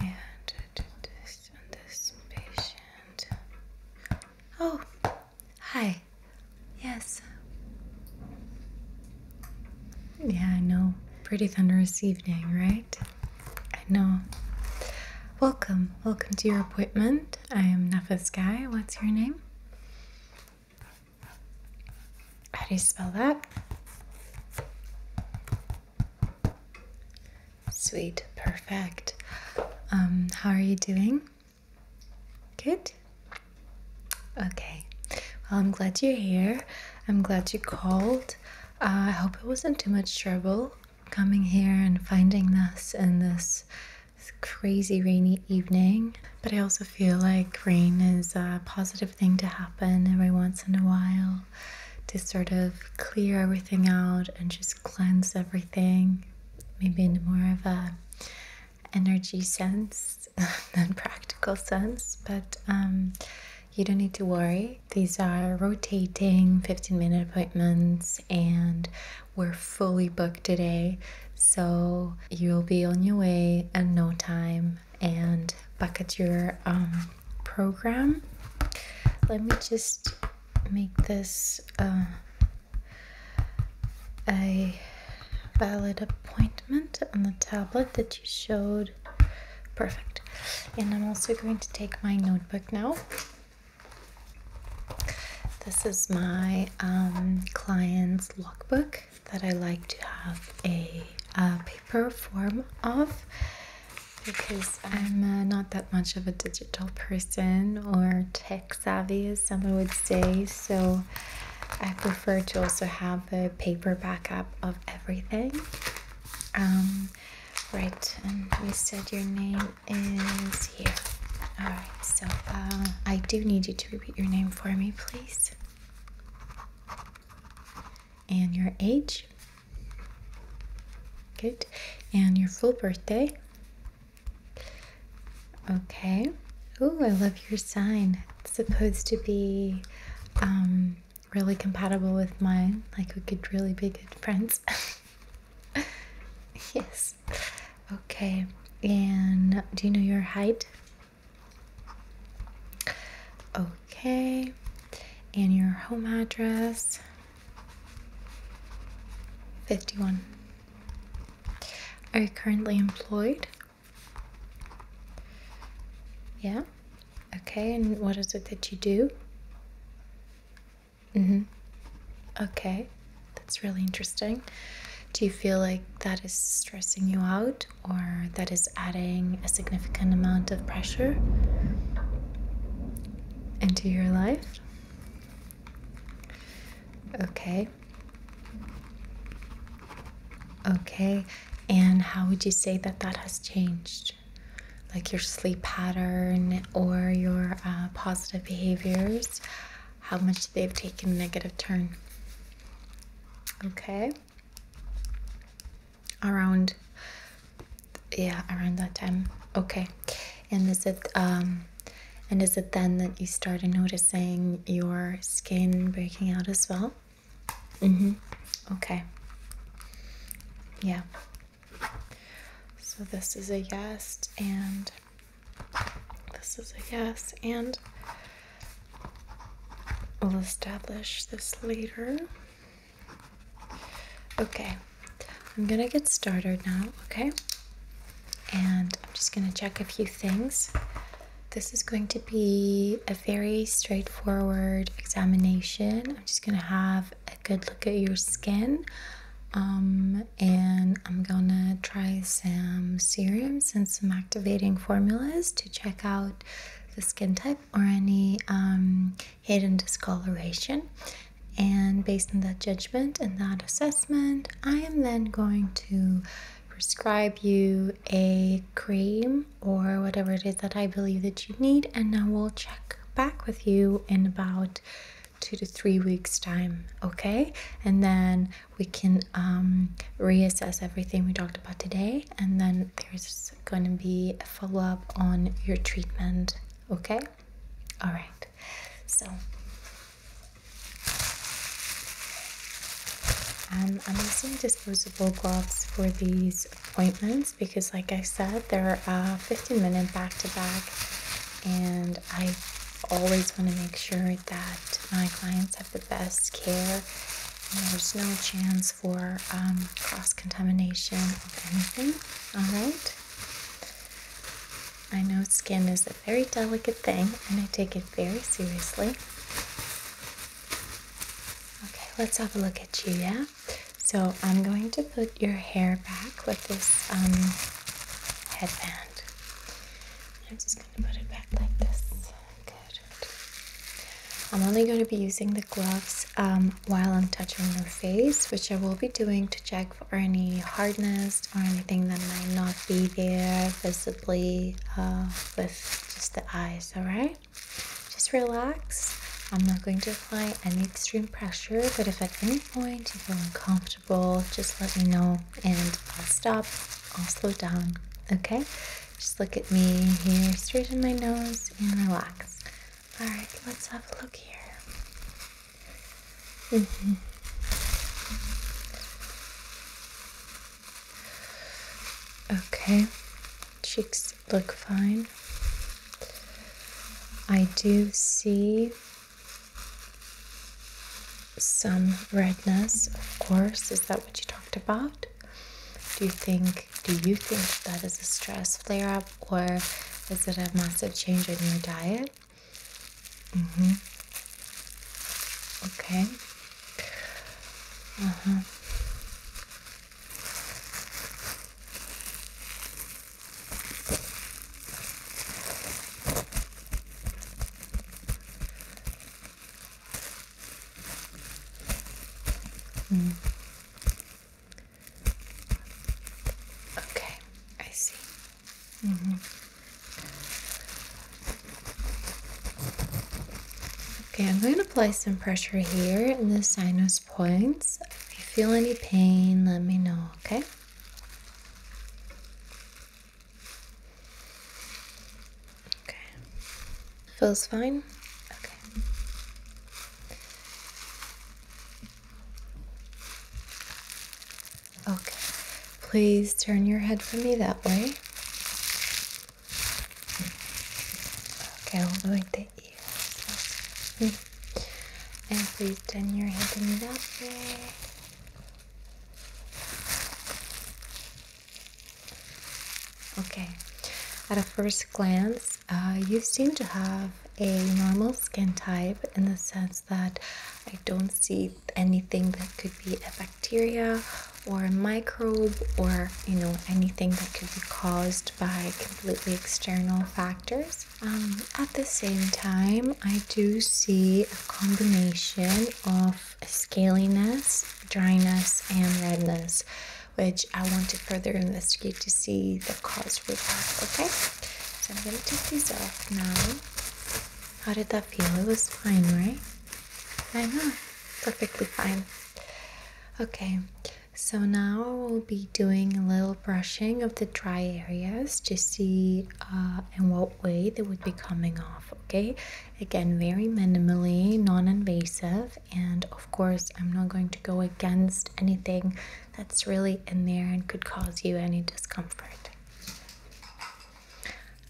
And do this patient. Oh, hi. Yes. Yeah, I know. Pretty thunderous evening, right? I know. Welcome. Welcome to your appointment. I am Nafis Guy. What's your name? How do you spell that? Sweet, perfect. Um, how are you doing? Good? Okay. Well, I'm glad you're here. I'm glad you called. Uh, I hope it wasn't too much trouble coming here and finding us in this crazy rainy evening. But I also feel like rain is a positive thing to happen every once in a while to sort of clear everything out and just cleanse everything, maybe in more of a energy sense than practical sense. But um, you don't need to worry. These are rotating 15 minute appointments and we're fully booked today, so you'll be on your way in no time and back at your um, program. Let me just make this uh, a valid appointment on the tablet that you showed. Perfect. And I'm also going to take my notebook now. This is my um, client's logbook that I like to have a, paper form of because I'm uh, not that much of a digital person or tech savvy, as someone would say. So I prefer to also have a paper backup of everything. Um, right, and you said your name is here. All right, so um, I do need you to repeat your name for me, please. And your age. Good. And your full birthday. Okay. Oh, I love your sign. It's supposed to be um, really compatible with mine. Like we could really be good friends. yes. Okay. And do you know your height? Okay. And your home address? 51. Are you currently employed? Yeah. Okay. And what is it that you do? Mm hmm. Okay. That's really interesting. Do you feel like that is stressing you out or that is adding a significant amount of pressure into your life? Okay. Okay. And how would you say that that has changed? Like your sleep pattern or your uh, positive behaviors? how much they've taken a negative turn. Okay. Around, yeah, around that time. Okay. And is it, um, and is it then that you started noticing your skin breaking out as well? Mm-hmm. Okay. Yeah. So this is a yes, and this is a yes, and we'll establish this later. Okay, I'm gonna get started now, okay? And I'm just gonna check a few things. This is going to be a very straightforward examination. I'm just gonna have a good look at your skin um, and I'm gonna try some serums and some activating formulas to check out the skin type or any um, hidden discoloration. And based on that judgment and that assessment, I am then going to prescribe you a cream or whatever it is that I believe that you need, and I will check back with you in about two to three weeks time okay and then we can um, reassess everything we talked about today and then there's going to be a follow-up on your treatment okay all right so um, I'm using disposable gloves for these appointments because, like I said, they're a uh, 15 minute back to back, and I always want to make sure that my clients have the best care. And there's no chance for um, cross contamination of anything. All right. I know skin is a very delicate thing, and I take it very seriously. Okay, let's have a look at you. Yeah. So I'm going to put your hair back with this um, headband. I'm just going to put it back like this. Good. I'm only going to be using the gloves um, while I'm touching your face, which I will be doing to check for any hardness or anything that might not be there visibly uh, with just the eyes, alright? Just relax. I'm not going to apply any extreme pressure, but if at any point you feel uncomfortable, just let me know and I'll stop, I'll slow down, okay? Just look at me here, straighten my nose and relax. All right, let's have a look here. Mm-hmm. Okay, cheeks look fine. I do see some redness, of course. Is that what you talked about? Do you think do you think that is a stress flare up or is it a massive change in your diet? Mm-hmm. Okay. Uh-huh. Mm. Okay, I see. Mm -hmm. Okay, I'm going to apply some pressure here in the sinus points. If you feel any pain, let me know, okay? Okay. Feels fine? Okay. Okay. Please turn your head for me that way. Okay, all the way to ears. Mm. And please turn your head to me that Okay, at a first glance, uh, you seem to have a normal skin type in the sense that I don't see anything that could be a bacteria or a microbe or you know anything that could be caused by completely external factors. Um, at the same time, I I do see a combination of scaliness, dryness, and redness, which I want to further investigate to see the cause root of. Okay, so I'm gonna take these off now. How did that feel? It was fine, right? I know, perfectly fine. Okay, so now we'll be doing a little brushing of the dry areas to see uh, and in what way they would be coming off. Okay, again, very minimally non invasive, and of course, I'm not going to go against anything that's really in there and could cause you any discomfort.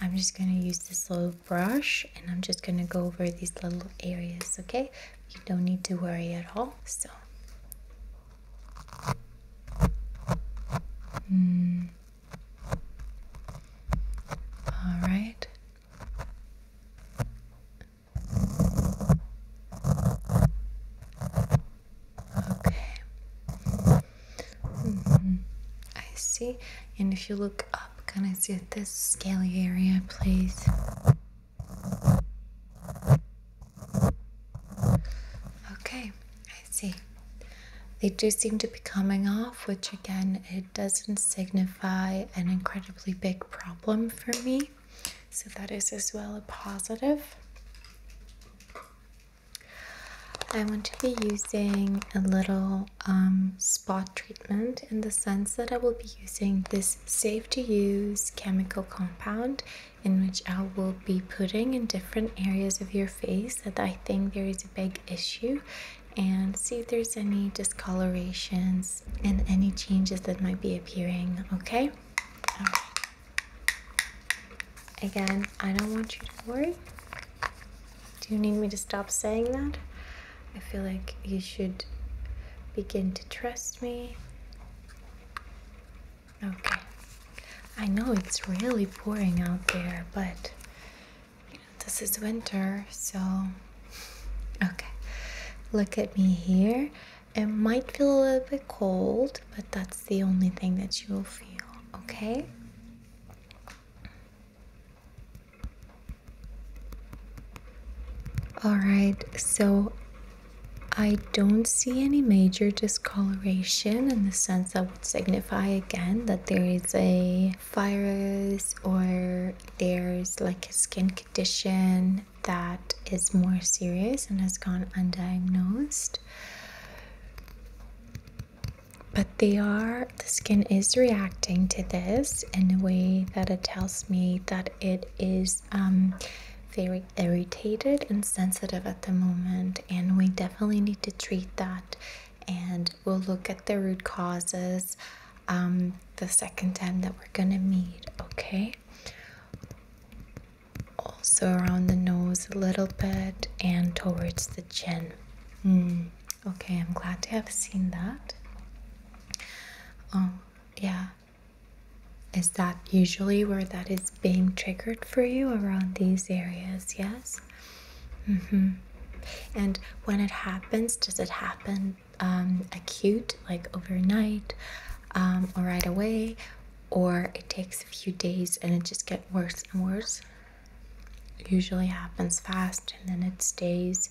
I'm just going to use this little brush and I'm just going to go over these little areas, okay? You don't need to worry at all. So, mm. All right. Okay. -hmm. I see. And if you look up, can I see this scaly area, please? Okay, I see. They do seem to be coming off, which again, it doesn't signify an incredibly big problem for me. So that is as well a positive. I want to be using a little um, spot treatment in the sense that I will be using this safe to use chemical compound in which I will be putting in different areas of your face that I think there is a big issue and see if there's any discolorations and any changes that might be appearing, okay? Again, I don't want you to worry. Do you need me to stop saying that? I feel like you should begin to trust me Okay. I know it's really pouring out there, but this is winter, so okay. Look at me here. It might feel a little bit cold, but that's the only thing that you will feel, okay? All right, so I don't see any major discoloration in the sense of signify again that there is a virus or there's like a skin condition that is more serious and has gone undiagnosed. But they are, the skin is reacting to this in a way that it tells me that it is um, very irritated and sensitive at the moment, and we definitely definitely need to treat that and we'll look at the root causes um, the second time that we're gonna meet, okay? Also around the nose a little bit and towards the chin. Mm, okay, I'm glad to have seen that. Oh, yeah. Is that usually where that is being triggered for you around these areas, yes? Mm-hmm. And when it happens, does it happen um, acute, like overnight um, or right away? Or it takes a few days and it just get worse and worse? usually happens fast and then it stays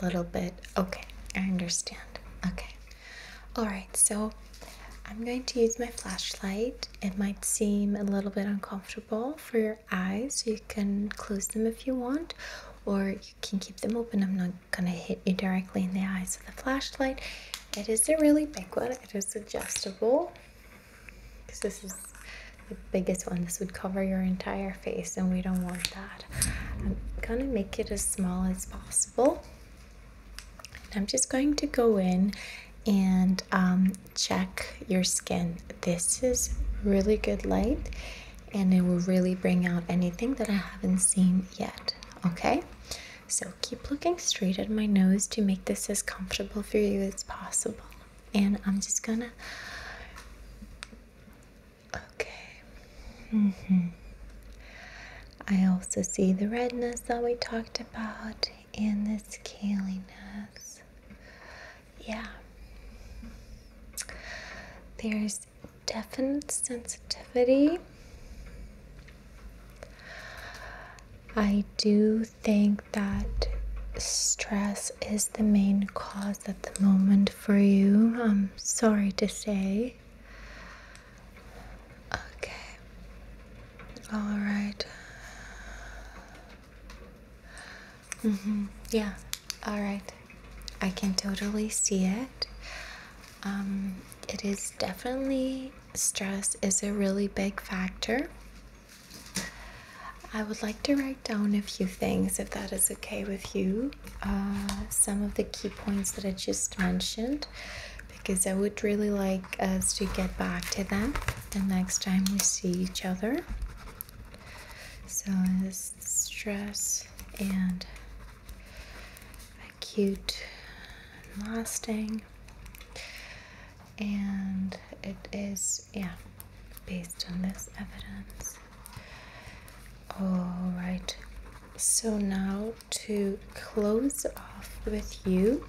a little bit. Okay, I understand. Okay. All right, so I'm going to use my flashlight it might seem a little bit uncomfortable for your eyes, so you can close them if you want, or you can keep them open. I'm not gonna hit you directly in the eyes with the flashlight. It is a really big one, it is adjustable because this is the biggest one. This would cover your entire face, and we don't want that. I'm gonna make it as small as possible. I'm just going to go in and um, check your skin. This is really good light and it will really bring out anything that I haven't seen yet. Okay? So keep looking straight at my nose to make this as comfortable for you as possible. And I'm just gonna. Okay. Mm hmm I also see the redness that we talked about. And the scaly nerves. Yeah. There's definite sensitivity. I do think that stress is the main cause at the moment for you. I'm sorry to say. Okay. All right. Mm-hmm. Yeah. All right. I can totally see it. Um, it is definitely stress is a really big factor. I would like to write down a few things if that is okay with you. Uh, some of the key points that I just mentioned because I would really like us to get back to that the next time we see each other. So, this stress and acute and lasting, and it is, yeah, based on this evidence. All right, so now to close off with you.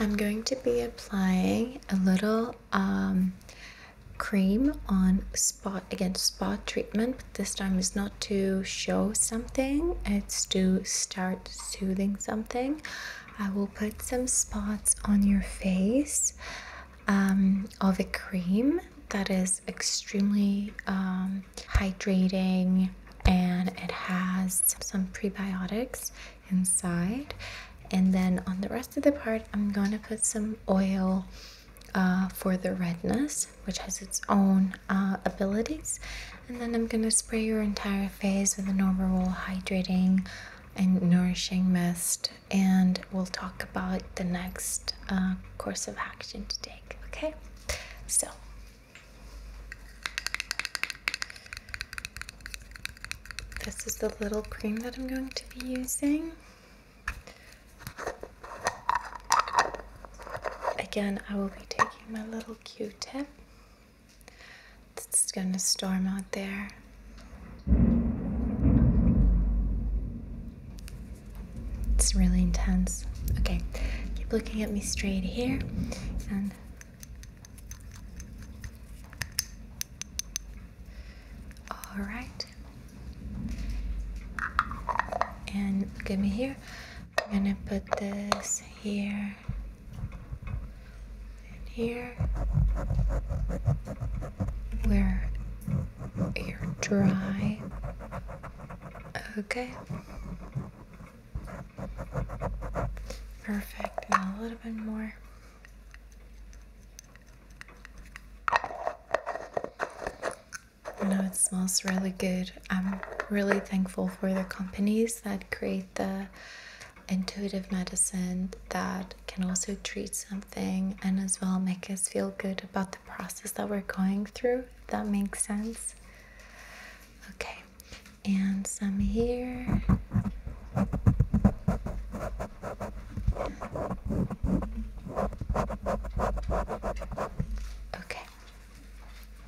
I'm going to be applying a little um, cream on spot again spot treatment but this time is not to show something it's to start soothing something I will put some spots on your face um, of a cream that is extremely um, hydrating and it has some prebiotics inside and then on the rest of the part i'm going to put some oil uh, for the redness which has its own uh, abilities and then i'm going to spray your entire face with an overall hydrating and nourishing mist and we'll talk about the next uh, course of action to take okay so this is the little cream that I'm going to be using. Again, I will be taking my little Q-tip. It's going to storm out there. It's really intense. Okay, keep looking at me straight here and all right. And give me here. I'm gonna put this here and here where you're dry. Okay. Perfect. Now a little bit more. I know it smells really good. I'm really thankful for the companies that create the intuitive medicine that can also treat something and as well make us feel good about the process that we're going through. That makes sense. Okay, and some here. Okay.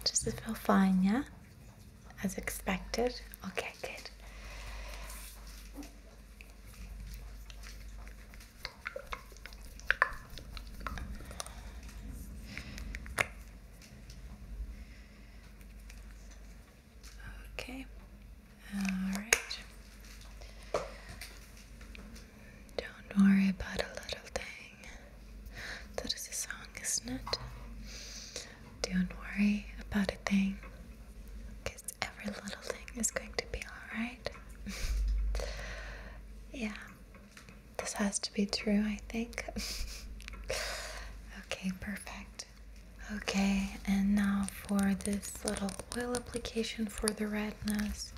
Does it feel fine, yeah? As expected? Okay, good. Okay. All right. Don't worry about a little thing. That is a song, isn't it? Don't worry about a thing. Because every little thing is going to be alright. yeah. This has to be true, I think. okay, perfect. Okay, and now for this little oil application for the redness.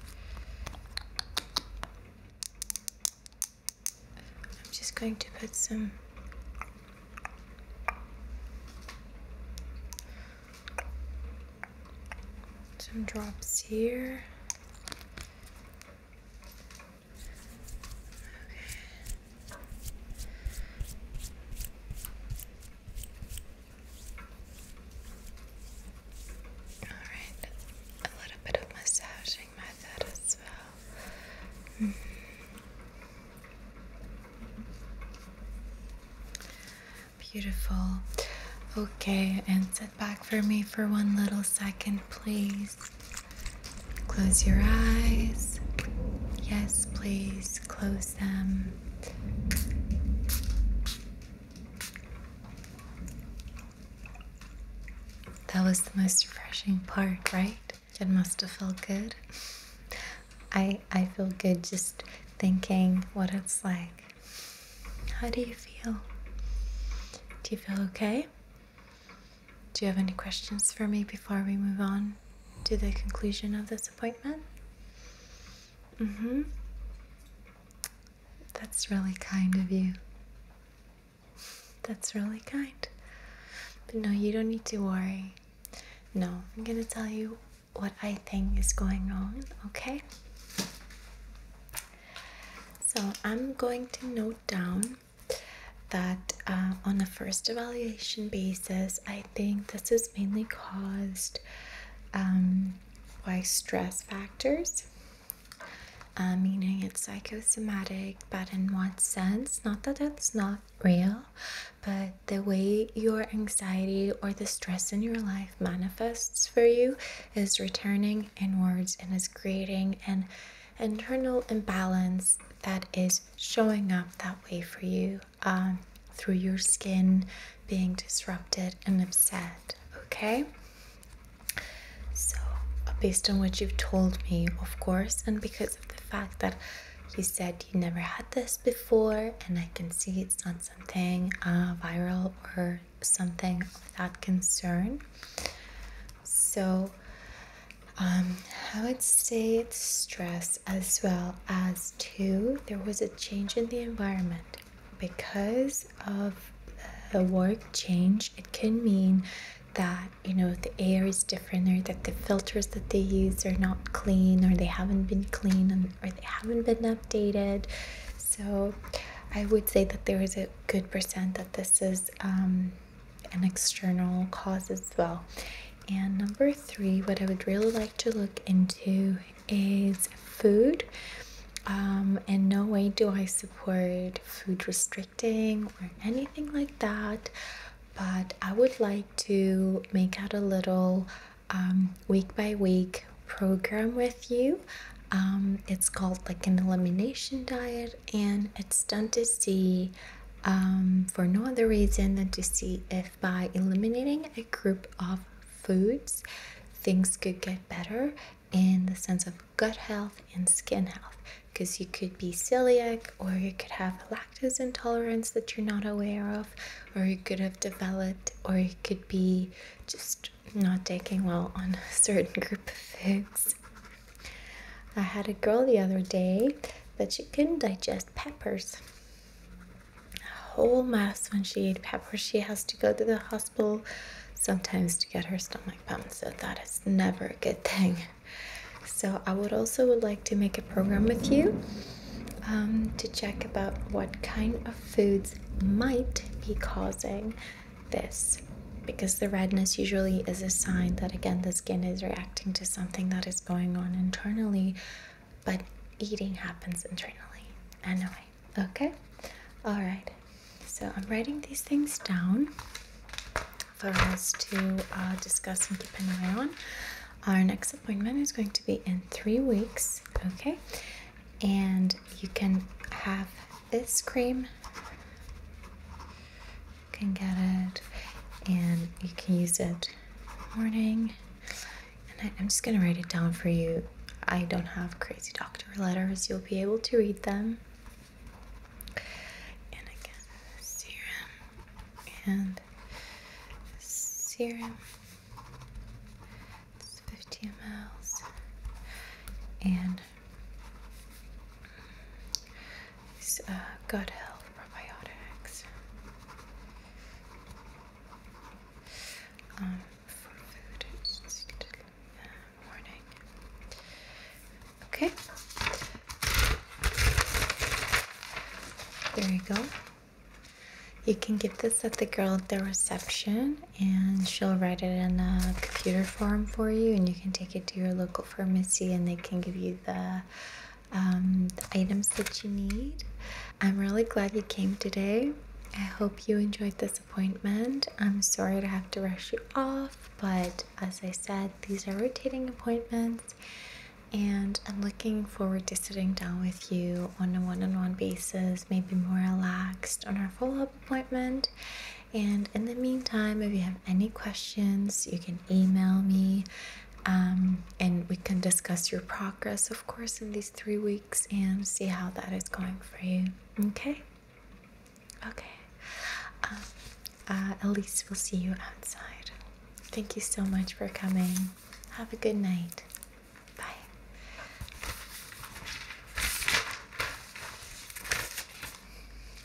I'm just going to put some some drops here all right. A little bit of massaging method as well. Mm-hmm. Beautiful. Okay, and sit back for me for one little second, please. Close your eyes. Yes, please close them. That was the most refreshing part, right? It must have felt good. I I feel good just thinking what it's like. How do you feel? Do you feel okay? Do you have any questions for me before we move on to the conclusion of this appointment? Mm hmm. That's really kind of you. That's really kind. But no, you don't need to worry. No, I'm gonna tell you what I think is going on, okay? So I'm going to note down that uh, on a first evaluation basis, I think this is mainly caused um, by stress factors. Uh, meaning it's psychosomatic, but in what sense? Not that it's not real, but the way your anxiety or the stress in your life manifests for you is returning inwards and is creating and internal imbalance that is showing up that way for you um, through your skin being disrupted and upset. Okay? So, based on what you've told me, of course, and because of the fact that you said you never had this before, and I can see it's not something uh, viral or something of that concern. So, um, I would say it's stress as well as too there was a change in the environment because of the work change. It can mean that you know the air is different or that the filters that they use are not clean or they haven't been clean or they haven't been updated. So, I would say that there is a good percent that this is um, an external cause as well. And number three, what I would really like to look into is food. Um, in no way do I support food restricting or anything like that, but I would like to make out a little um, week by week program with you. Um, it's called like an elimination diet and it's done to see um, for no other reason than to see if by eliminating a group of foods things could get better in the sense of gut health and skin health because you could be celiac or you could have lactose intolerance that you're not aware of or you could have developed or you could be just not taking well on a certain group of foods I had a girl the other day that she couldn't digest peppers. A whole mess when she ate peppers, she has to go to the hospital sometimes to get her stomach pumped, so that is never a good thing. So I would also would like to make a program with you um, to check about what kind of foods might be causing this because the redness usually is a sign that again the skin is reacting to something that is going on internally but eating happens internally anyway okay all right so i'm writing these things down for us to uh, discuss and keep an eye on our next appointment is going to be in three weeks okay and you can have this cream. You can get it and you can use it morning. And I, am just gonna write it down for you. I don't have crazy doctor letters, you'll be able to read them. And again, serum and serum. It's 50 mLs and it's, uh, gut health probiotics. Um, for food, morning. Uh, okay. There you go. You can give this at the girl at the reception, and she'll write it in a computer form for you, and you can take it to your local local pharmacy and they can give you um, the items that you need. I'm really glad you came today. I hope you enjoyed this appointment. I'm sorry to have to rush you off, but as I said, these are rotating appointments, and I'm looking forward to sitting down with you on a one on one basis, maybe more relaxed on our follow up appointment. And in the meantime, if you have any questions, you can email me um, and we can discuss your progress, of course, in these three weeks and see how that is going for you. Okay? Okay. Um, at uh, least we'll see you outside. Thank you so much for coming. Have a good night. Bye.